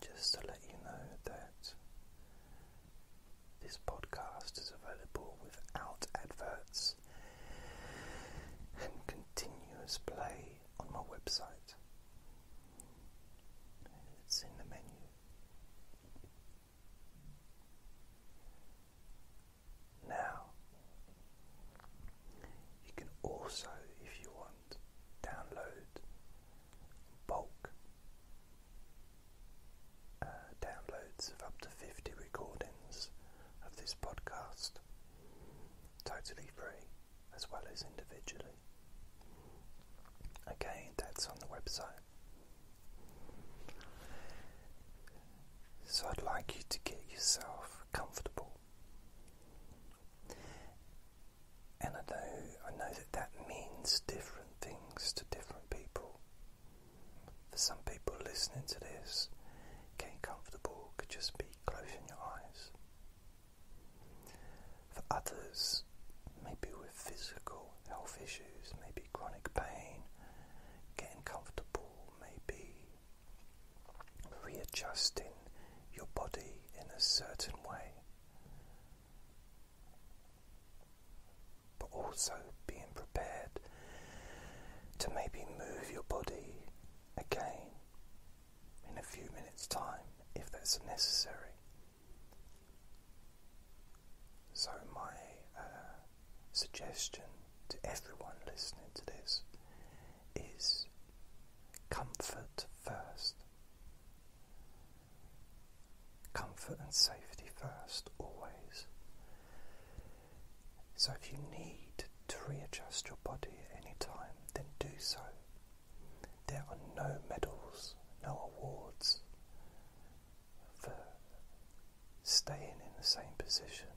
just to let you know that this podcast is available without adverts and continuous play on my website. It's in the menu. Now, you can also, if you want, download, bulk uh, downloads of up to 50 recordings of this podcast, totally free as well as individually. Okay, that's on the website. So I'd like you to get yourself comfortable. And I know, I know that that means different things to different people. For some people listening to this, getting comfortable could just be closing your eyes. For others, maybe with physical health issues, maybe chronic pain, getting comfortable, maybe readjusting your body in a certain way but also being prepared to maybe move your body again in a few minutes' time if that's necessary. So, my uh, suggestion to everyone listening to this is comfort first. Comfort and safety first, always. So if you need to readjust your body at any time, then do so. There are no medals, no awards for staying in the same position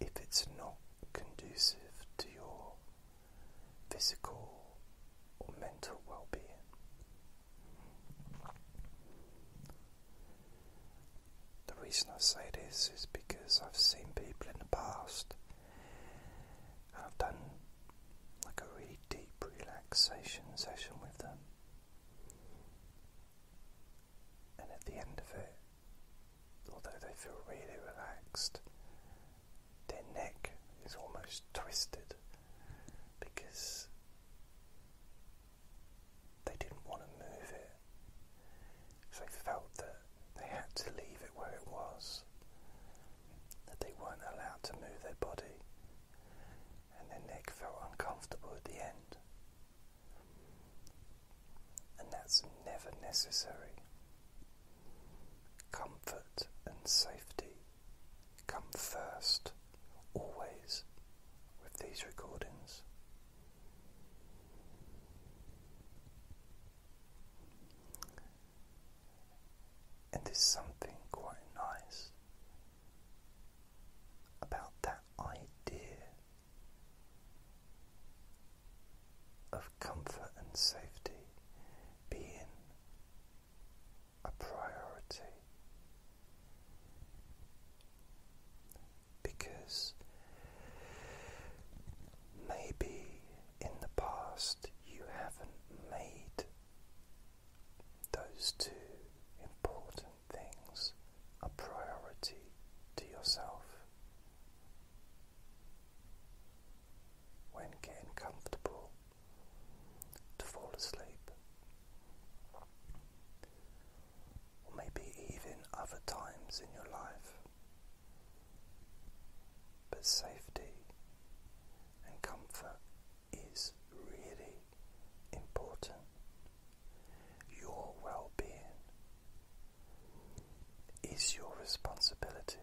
if it's not conducive to your physical or mental well being. The reason I say this is because I've seen people in the past I've done like a really deep relaxation session with them, and at the end of it, although they feel really relaxed, their neck is almost twisted because they didn't want to move it. So they felt that they had to leave it where it was, that they weren't allowed to move their body, and their neck felt uncomfortable at the end and that's never necessary. Comfort and safety come first, always, with these recordings. And there's something quite nice about that idea of comfort and safety being a priority because maybe in the past you haven't made those two important things a priority to yourself when getting comfortable to fall asleep. maybe even other times in your life. But safety and comfort is really important. Your well being is your responsibility.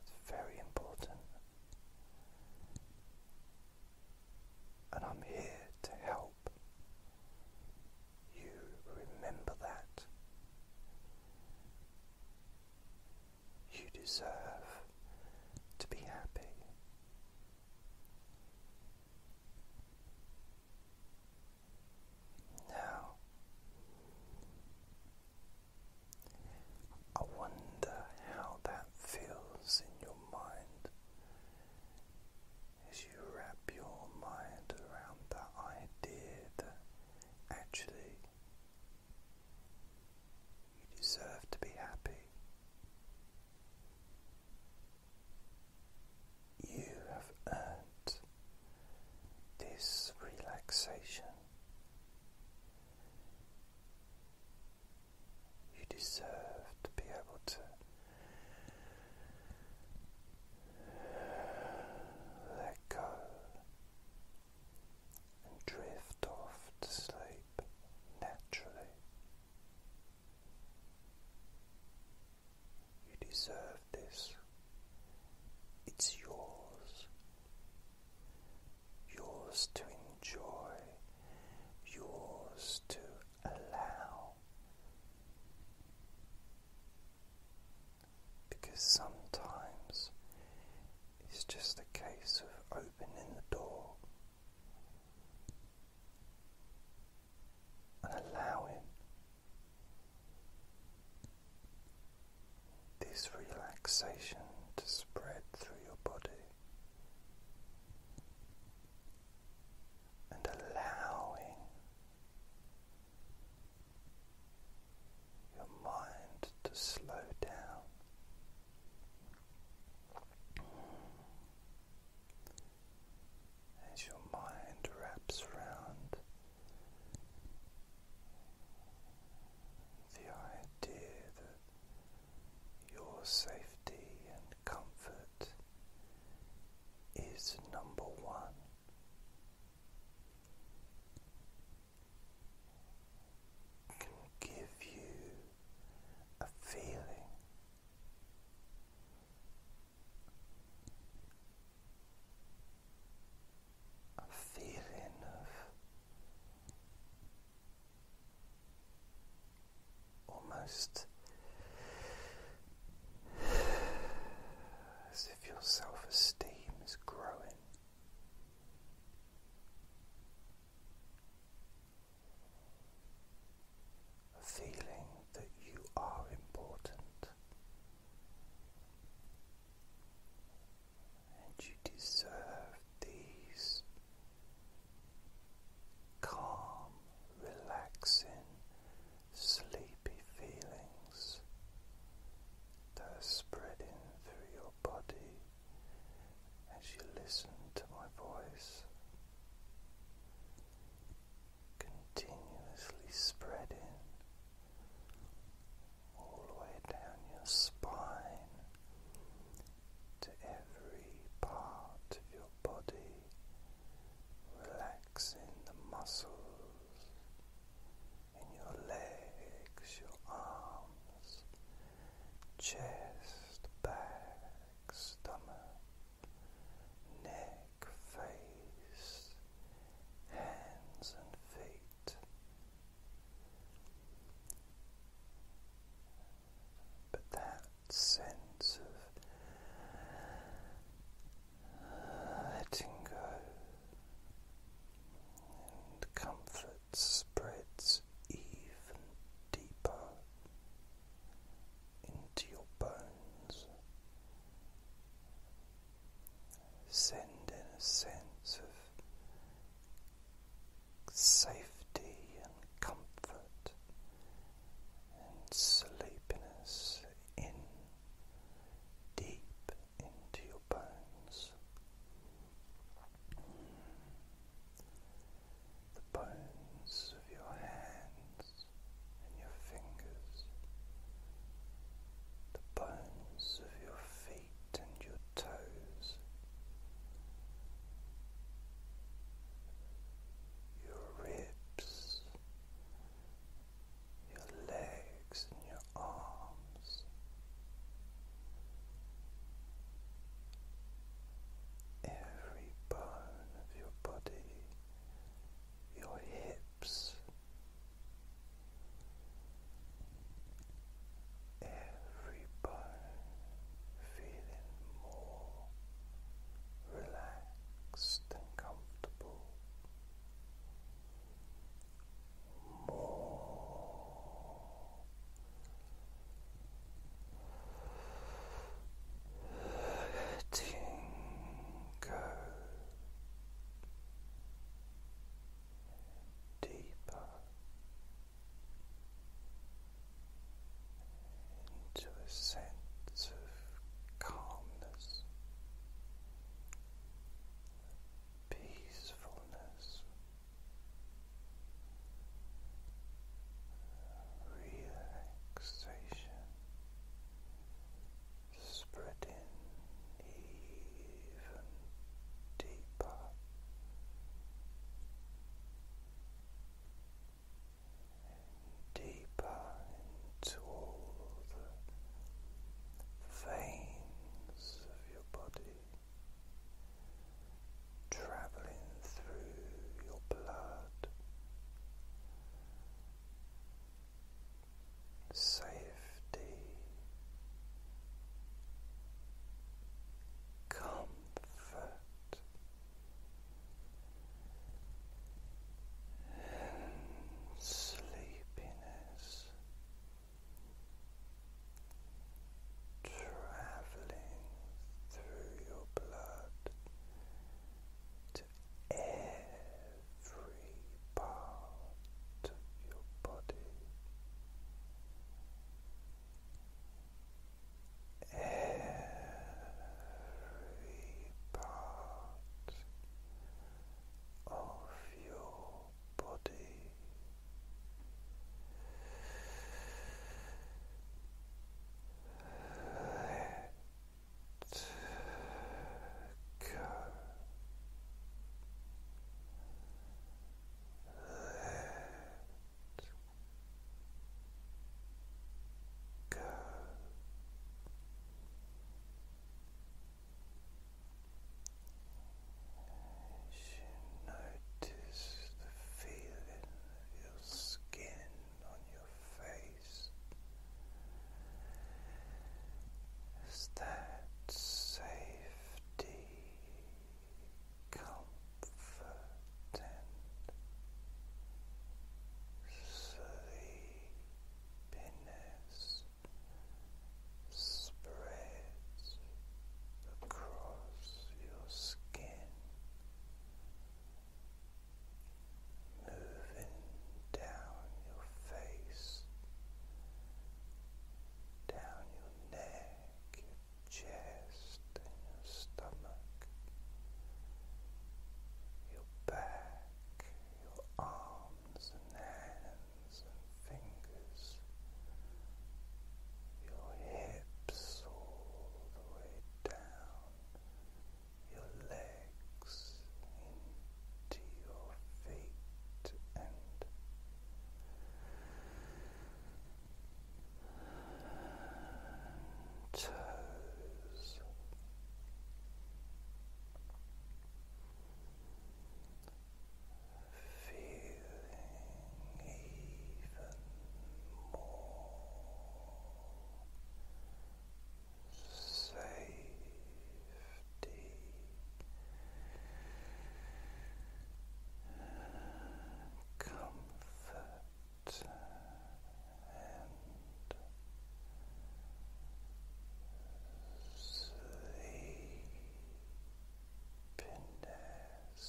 It's very important. And I'm here to help you remember that. You deserve to be happy. Now, I wonder how that feels in your mind as you wrap your mind around that idea that actually you deserve to be happy you have earned this relaxation. You deserve to be able to let go and drift off to sleep naturally. You deserve this. It's yours. Yours to enjoy. Yours to allow. Because sometimes it's just a case of opening the door and allowing this relaxation to spread through your body and allowing your mind to slow down as your mind wraps around the idea that your safety and comfort is number one can give you a feeling a feeling of almost as if your self esteem is growing a feeling that you are important and you deserve these calm, relaxing, sleepy feelings that are spreading through your body as you listen to my voice, continuously spreading all the way down your spine to every part of your body, relaxing the muscles in your legs, your arms chest, back, stomach, neck, face, hands and feet. But that sense of letting go and comfort spreads even deeper into your bones, sending a sense of safety and comfort and sleepiness in deep into your bones the bones of your hands and your fingers, the bones of your feet and your toes. Your ribs, your legs your arms. Every bone of your body, your hips, every bone feeling more relaxed and comfortable more letting deeper into a sense of calmness, peacefulness relaxation spreading even deeper deeper into all the veins of your body traveling through your blood, safety, comfort, and sleepiness traveling through your blood to every part of your body. Every part of your body. Let go. Let go. As you notice the feeling of your skin on your face, as that safety, comfort, and sleepiness spreads across your skin, moving down your face, down your neck, your chest, and your stomach, your back, your arms and hands and fingers, your hips all the way down, your legs into your feet and Toes, feeling even more safety comfort and sleepiness. Deep letting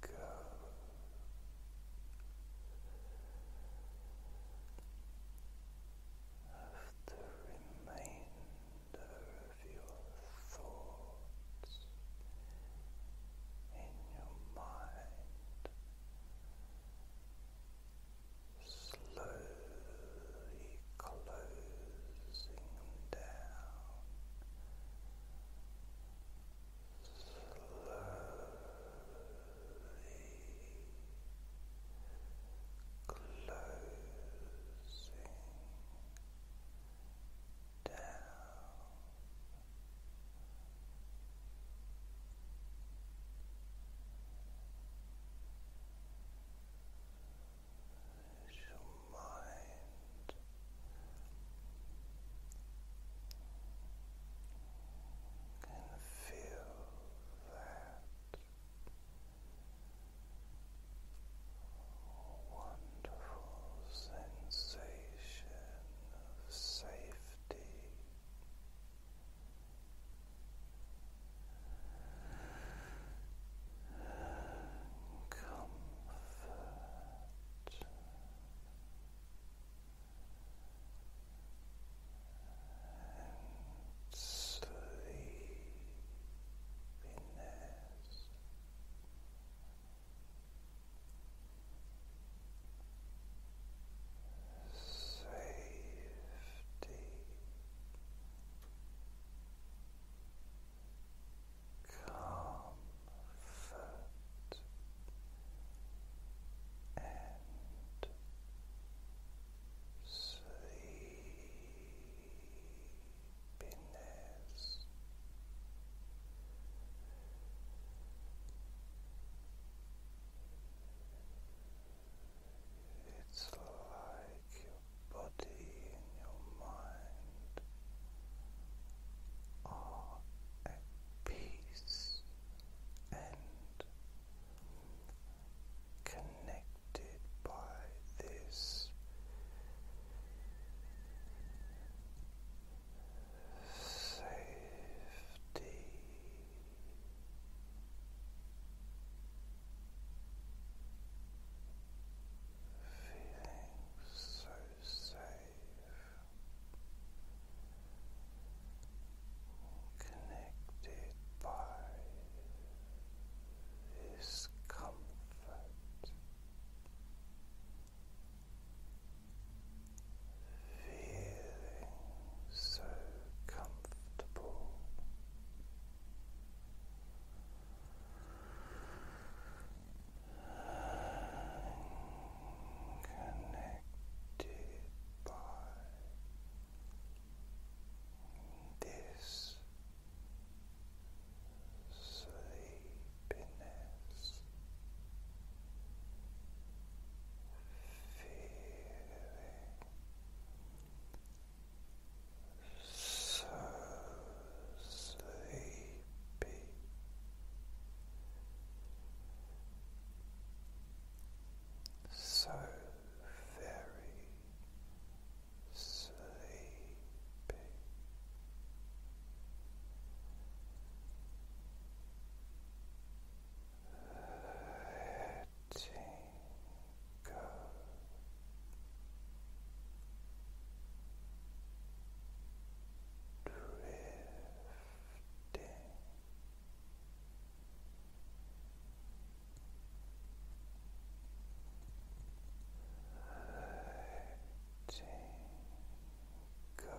go. Of the remainder of your thoughts in your mind slowly closing down closing down your mind can feel that wonderful sensation of safety comfort and sleepiness. Safety, comfort and sleepiness. It's like your body and your mind are at peace and connected by this safety. Feeling so safe, connected by this comfort, feeling so comfortable. Connected by this sleepiness, feeling so sleepy. So very sleepy, hurting go. Drifting. Letting go.